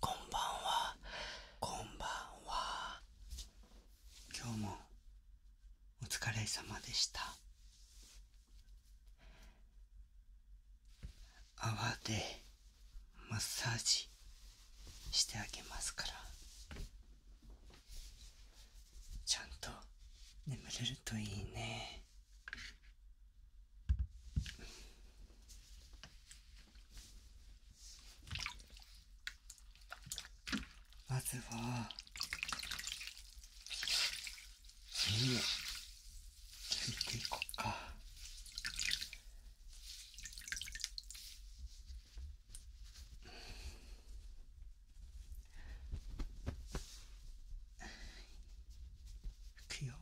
こんばんはこんばんは今日もお疲れ様でした泡でマッサージしてあげますからちゃんと眠れるといいねまずは耳を拭いていこうか。くよ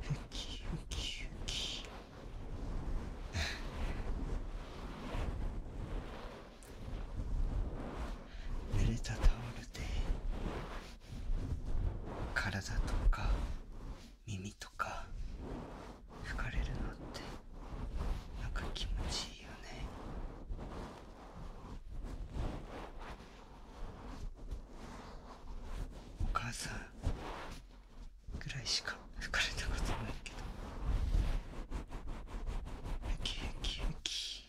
ふきふきふき濡れたタオルで体とか耳とか吹かれるのってなんか気持ちいいよねお母さんぐらいしか吹かれたことないけどウキウキウキ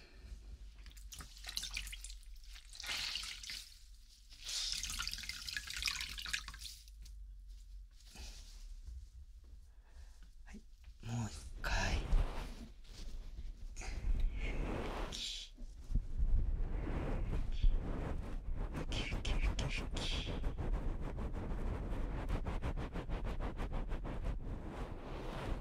はいもう一回。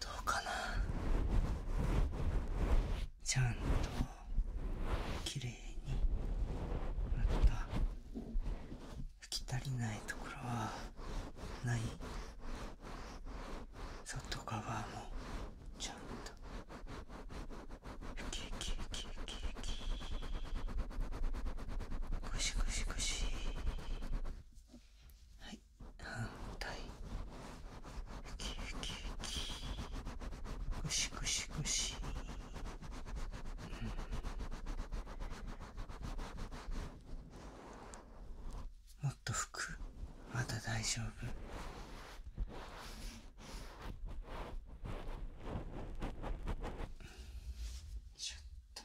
どうかなちゃんときれいにまた吹き足りないところはない外側もちゃんと吹き吹き吹き吹き吹きゴシゴシゴシはい反対ウキウキウキゴシゴうん、もっと拭くまだ大丈夫ちょっと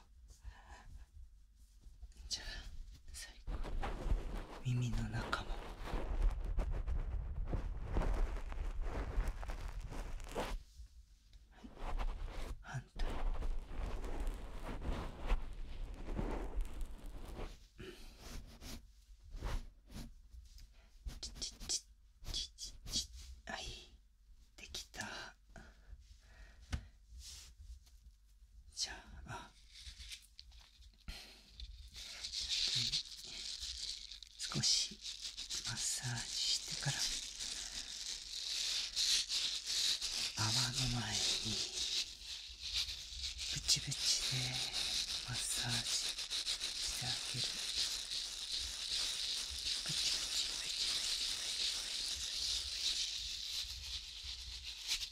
じゃあ最後耳の中もはい反対チチチチチチはいできたじゃあ、少しマッサージしてから、泡の前に、ブチブチでマッサージしてあげる。ブチブチブチブチブチブチ。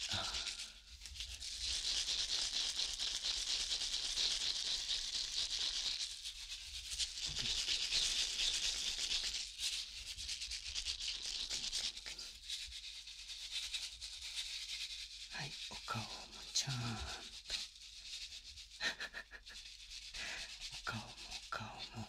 あはいお顔もちゃんと お顔もお顔も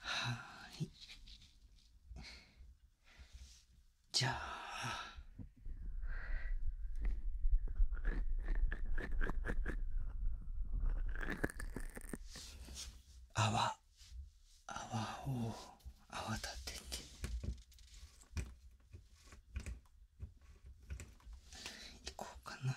はい。じゃあ。泡、泡を、泡立てて。いこうかな。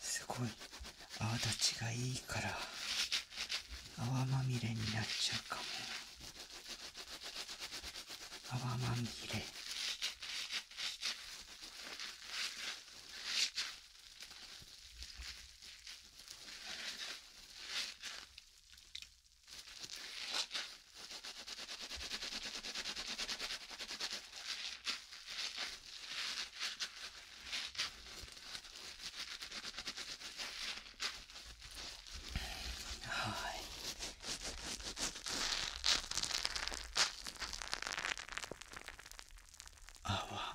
すごい泡立ちがいいから泡まみれになっちゃうかも泡まみれ泡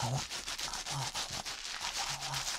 あわあわあわあ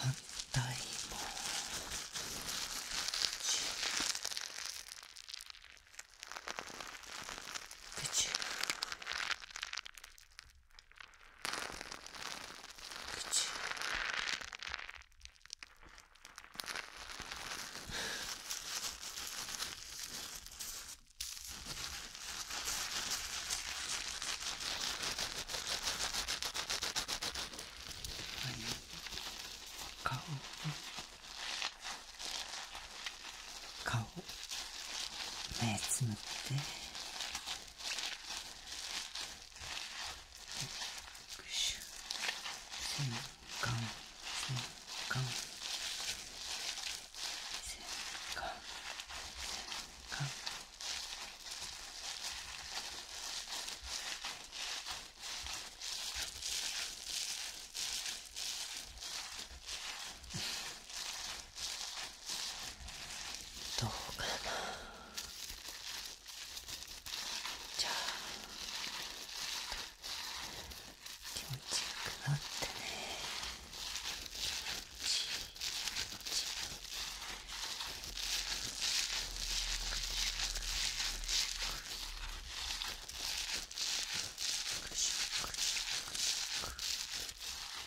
反対も口口。顔顔目つむってシュ洗顔洗顔洗顔洗顔洗どうかなじゃあ気持ちよくなってねよしちしよししよししよししよししよししよししよし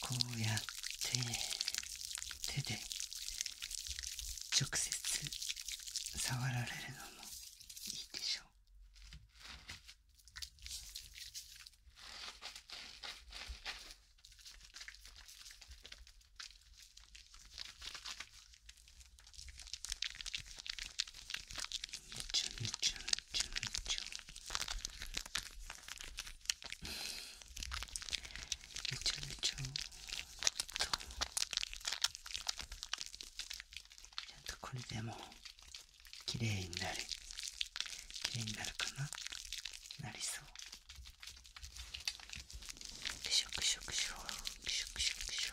こうやって手で直接触られるのもいいでしょうちゅんちゃめちゃ。んちゅんぬちゅぬちゅんとちゃんとこれでもう綺麗になる綺麗になるかななりそうくしょくしょくしょくしょくしょくしょ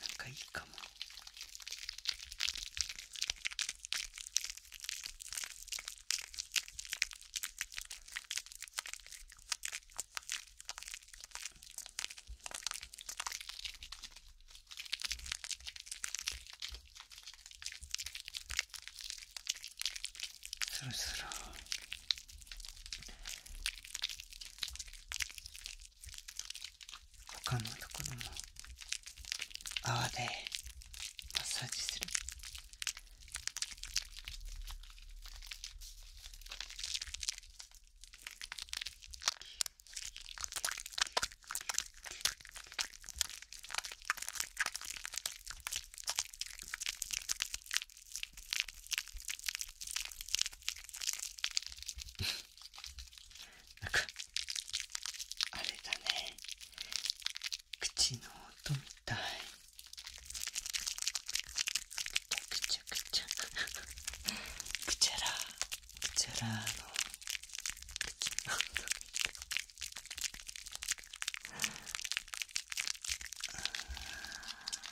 なんかいいかもスルスル他のところも泡でマッサージするなんかあれだね口の音みたいくちゃくちゃくちゃくちゃらくちゃらの口の音みたい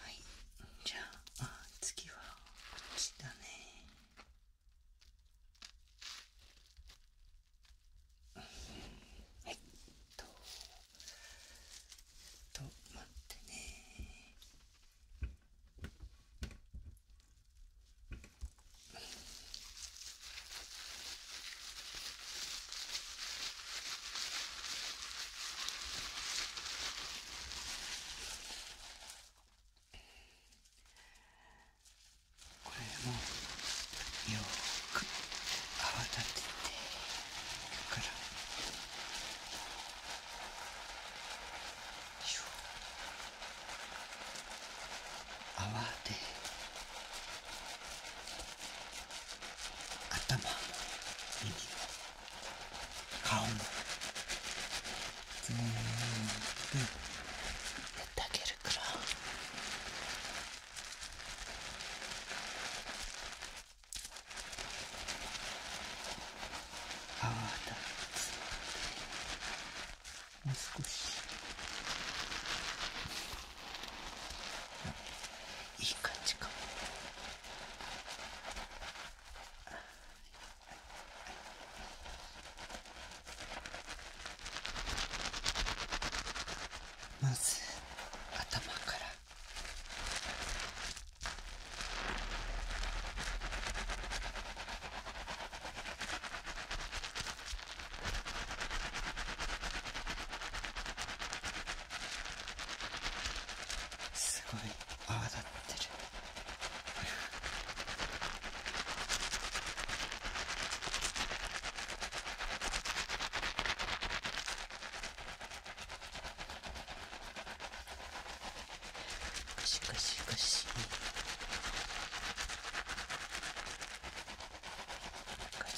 はいじゃあ次はこっちだねはいとと待ってねうん。これもよく泡立ててから泡で頭顔も耳も顔も全部やってあげるから泡だもう少し。いい感じかもまず頭からすごい泡立ってる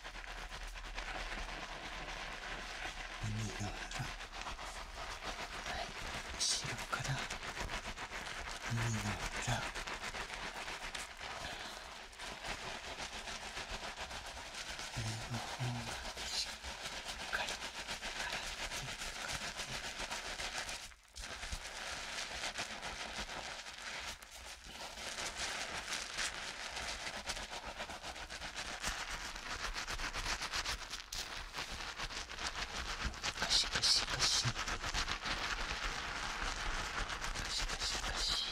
耳の裏はい後ろから耳の裏上の方までしっかり洗っていく感じカシカシカシカシカシカシ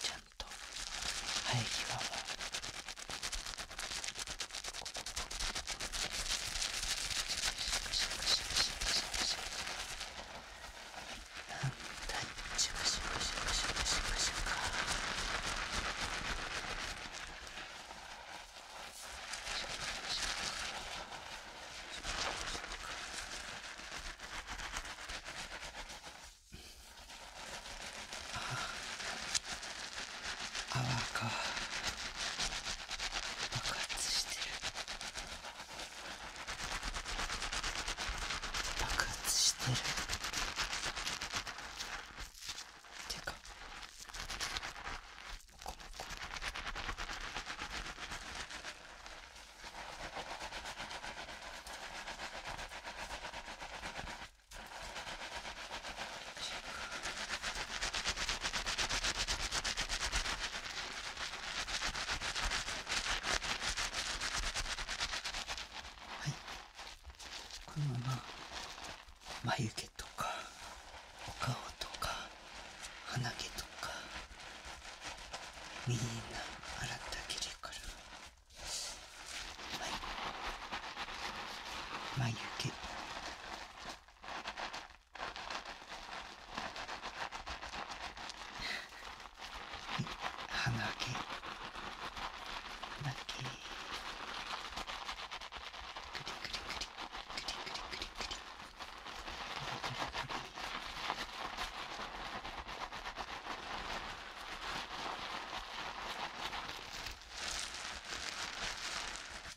ちゃんと生え際もここ。カシカシカシカシあか。爆発してる爆発してるてかモコモコはいこのまま眉毛とかお顔とか鼻毛とかみんな洗ってあげるからはい眉毛はい、鼻毛鼻毛クリクリクリクリクリクリクリ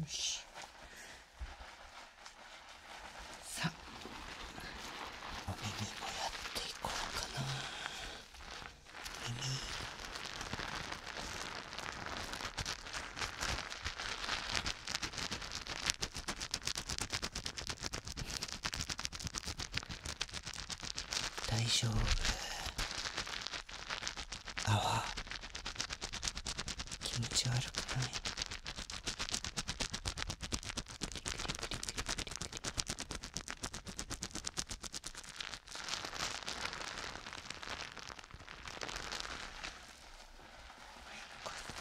よしさあお耳もやっていこうかな耳大丈夫あ泡気持ち悪くない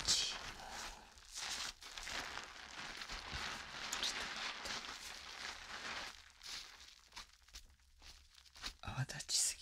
ち泡立ちすぎ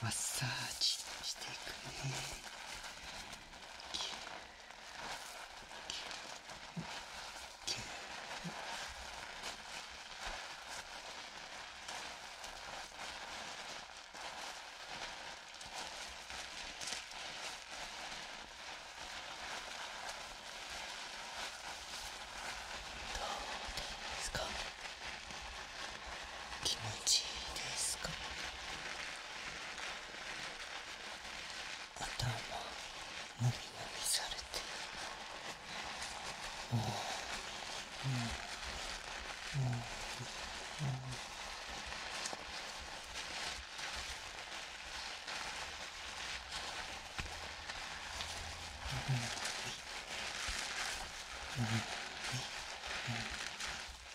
マッサージしていくですか気持ちいいですか頭なみなみされてもうもうもうもううん。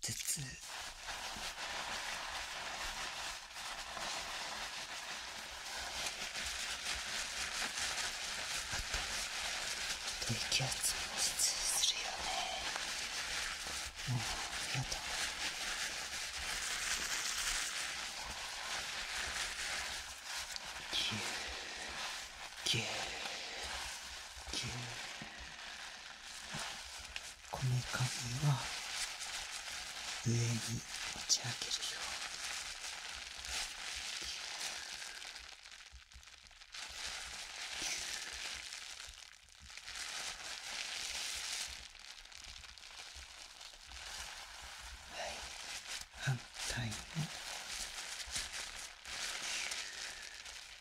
頭痛あと低気圧も頭痛するよねもうやだぎゅうぎゅうこめかみは上に持ち上げるように。反対に。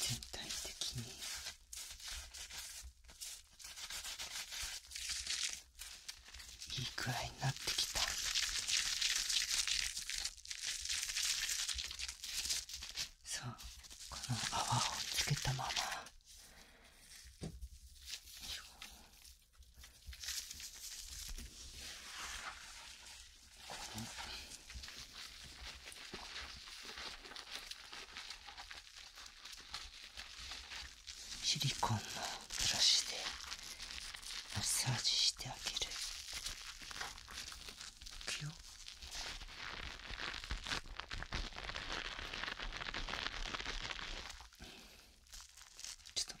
全体的にいい具合になってきた。そうこの泡をつけたまま。このシリコンのブラシでマッサージしてあげる。ちょっと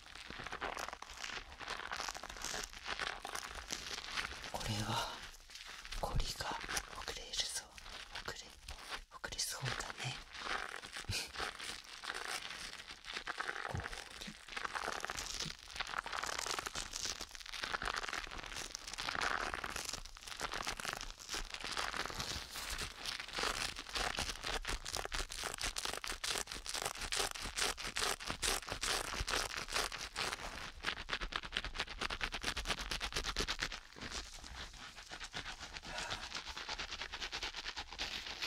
これはコリが遅れるぞ遅れ遅れそうだねこり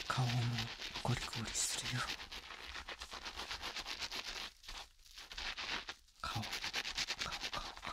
顔もゴリゴリするよ顔顔顔顔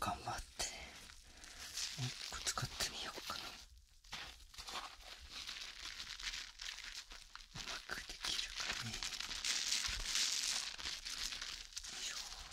頑張ってもう一個使ってみようかなうまくできるかねよいしょ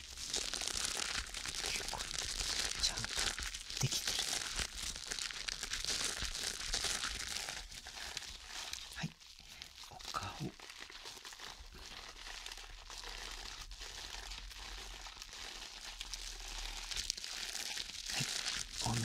結構ちゃんとできてるねはいお顔はいお耳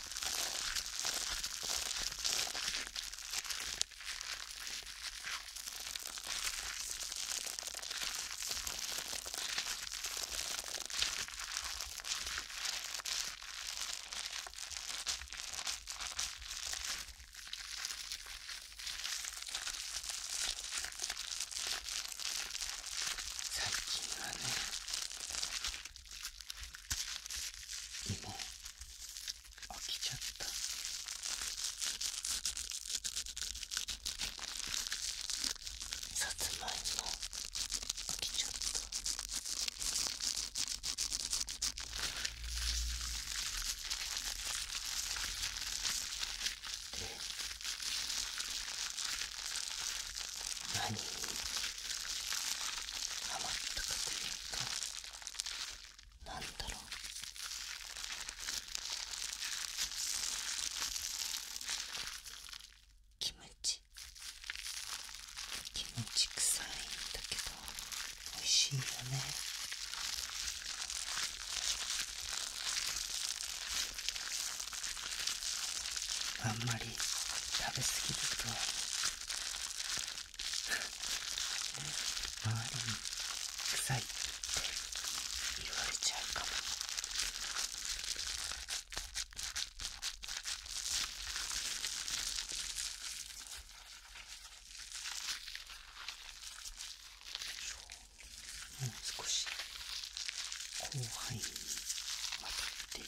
最近はね芋起きちゃったさつまいも起きちゃったっで何甘ったかというかなんだろうキムチキムチ臭いんだけど美味しいよねあんまり食べ過ぎると周りに臭いって言われちゃうかももう少し広範囲にわたってぎゅー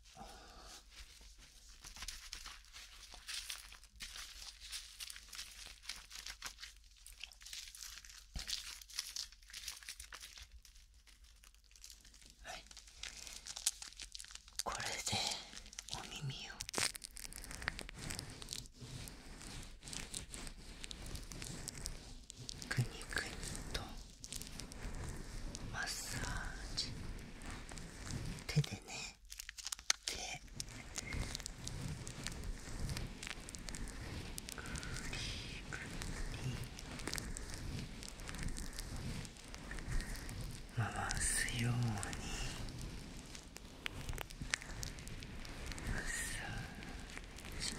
これでお耳をくにくにとマッサージ手でねでクリーム回すようにマッサージ。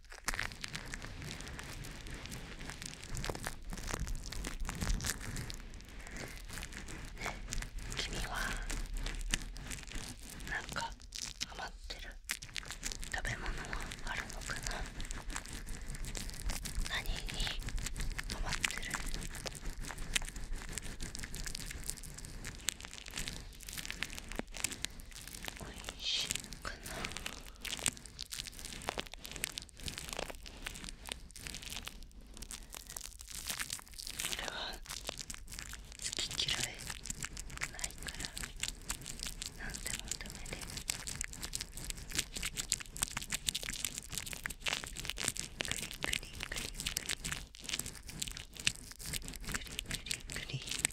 ね、君はなんか余ってる食べ物はあるのかな何にハマってるおいしいのかな俺は好き嫌いないから何でもダメでクリクリクリクリクリクリクリ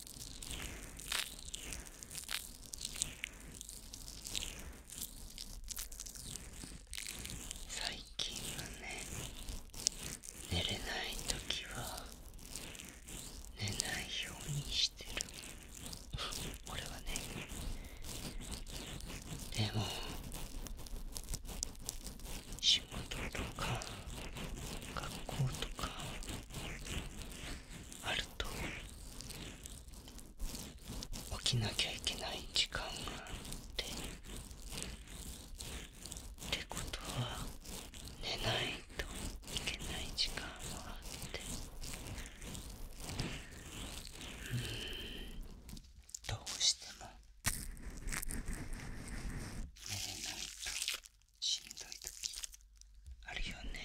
最近はね寝れない時は寝ないようにしてる俺はねでも仕事とか学校とかあると起きなきゃいけない時間があってってことは寝ないといけない時間もあってうんどうしても寝れないと。しんどい時あるよね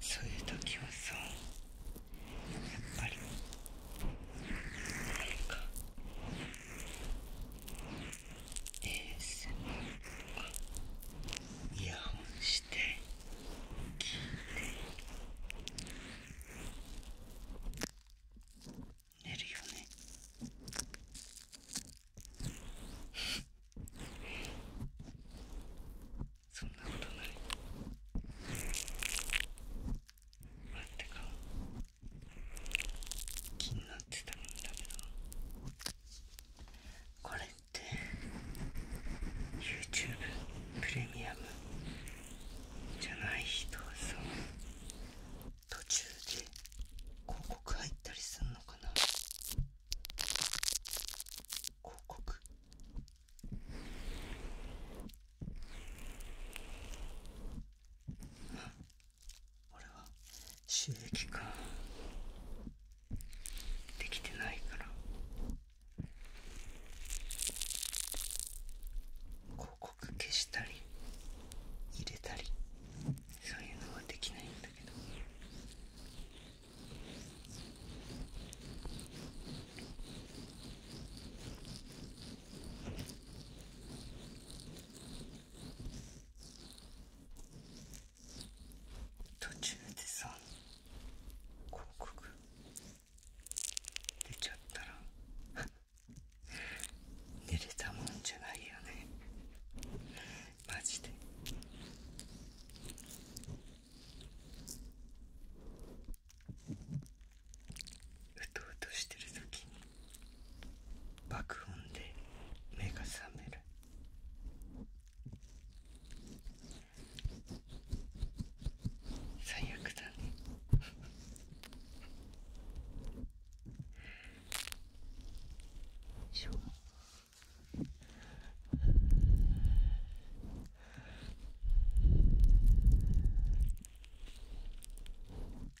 そういう時はさやっぱりイヤホンして聞いて寝るよねそんなことないなんてか気になってたんだけどこれって YouTube プレミアムじゃない人はさ途中で広告入ったりすんのかな広告俺は収益化できてないから広告消したり入れたりそういうのはできないんだけど途中でさ広告出ちゃったら 寝れたもんじゃないよねマジでうとうとしてる時に爆音で目が覚める最悪だねしょ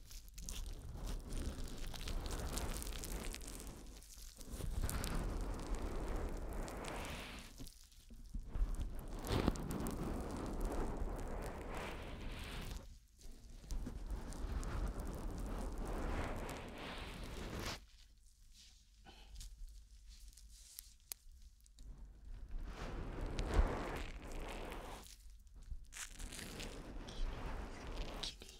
きり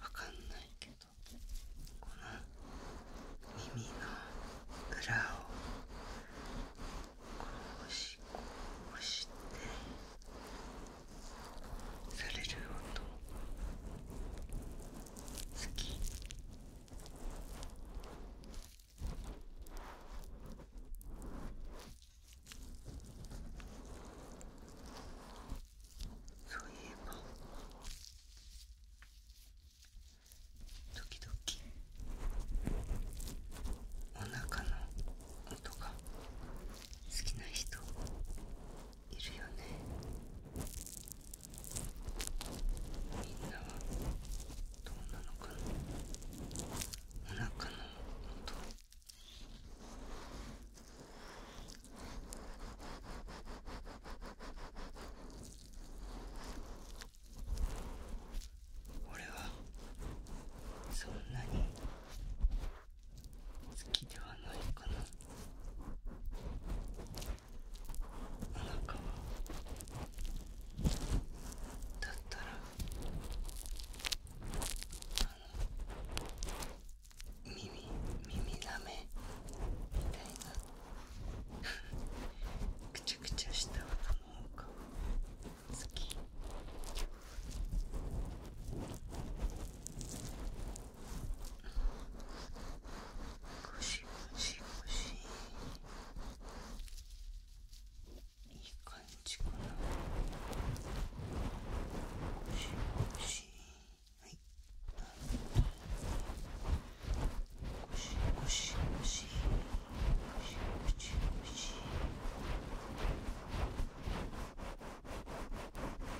わかんないけどこの耳の裏をこうしこうしてされる音好きそういえば時々お腹の音が好きな人いるよねみんなはどうなのかなお腹の音俺はそんなに好きではないかななんはだったらあの耳耳なめみたいなくちゃくちゃした音の方が好き。しむしむしいい感じかなむしむはいむしむしむしむしむしむし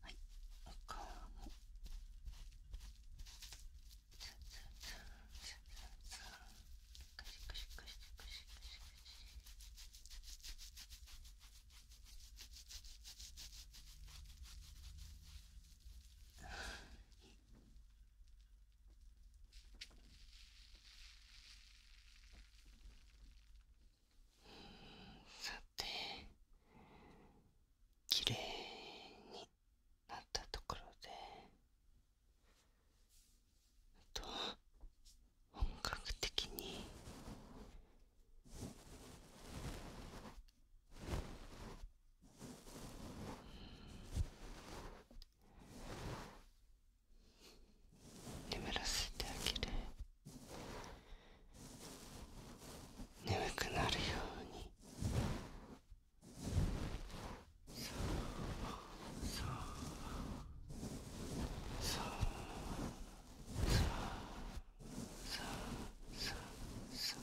はいお顔もツンツンツンツンツンツンカシカシカシカシカシカシさてきれいになったところであと本格的に眠らせてあげる。眠くなるようにそうそうそうそうそうそう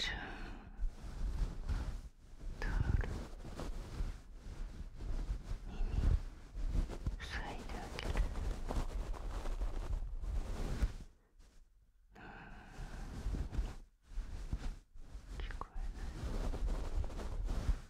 じゃタオル耳塞いであげる聞こえない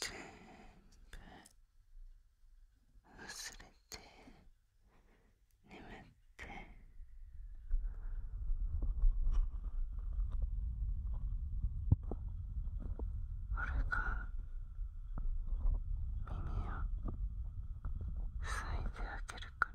全部忘れて眠っってあれか耳を塞いであげるから耳をあげるから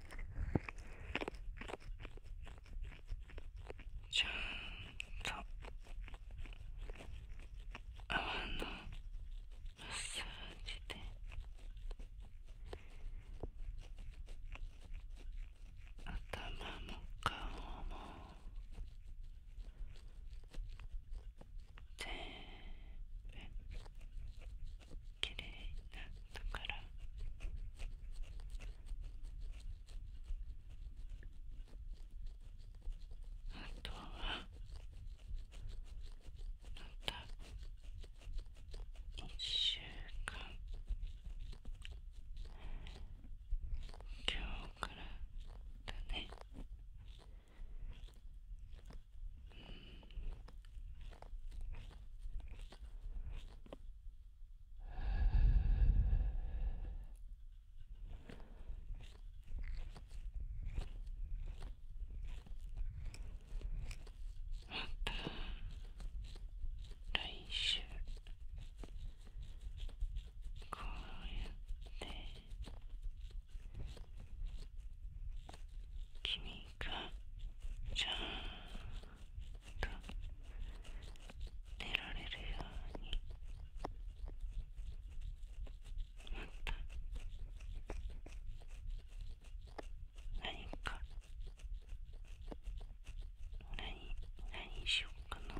ちゃんと泡のマッサージで頭も顔も全部。綺麗なったから。あとはまた1週間今日からだね来週こうやって君がちゃんと出られるようにまた何か何何しようかな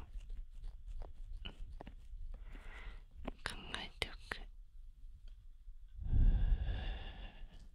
考えておく。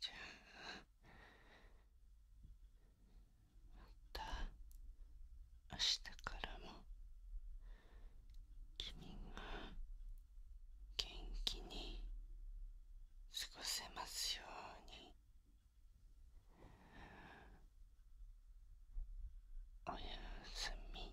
じゃあまた明日からも君が元気に過ごせますようにおやすみ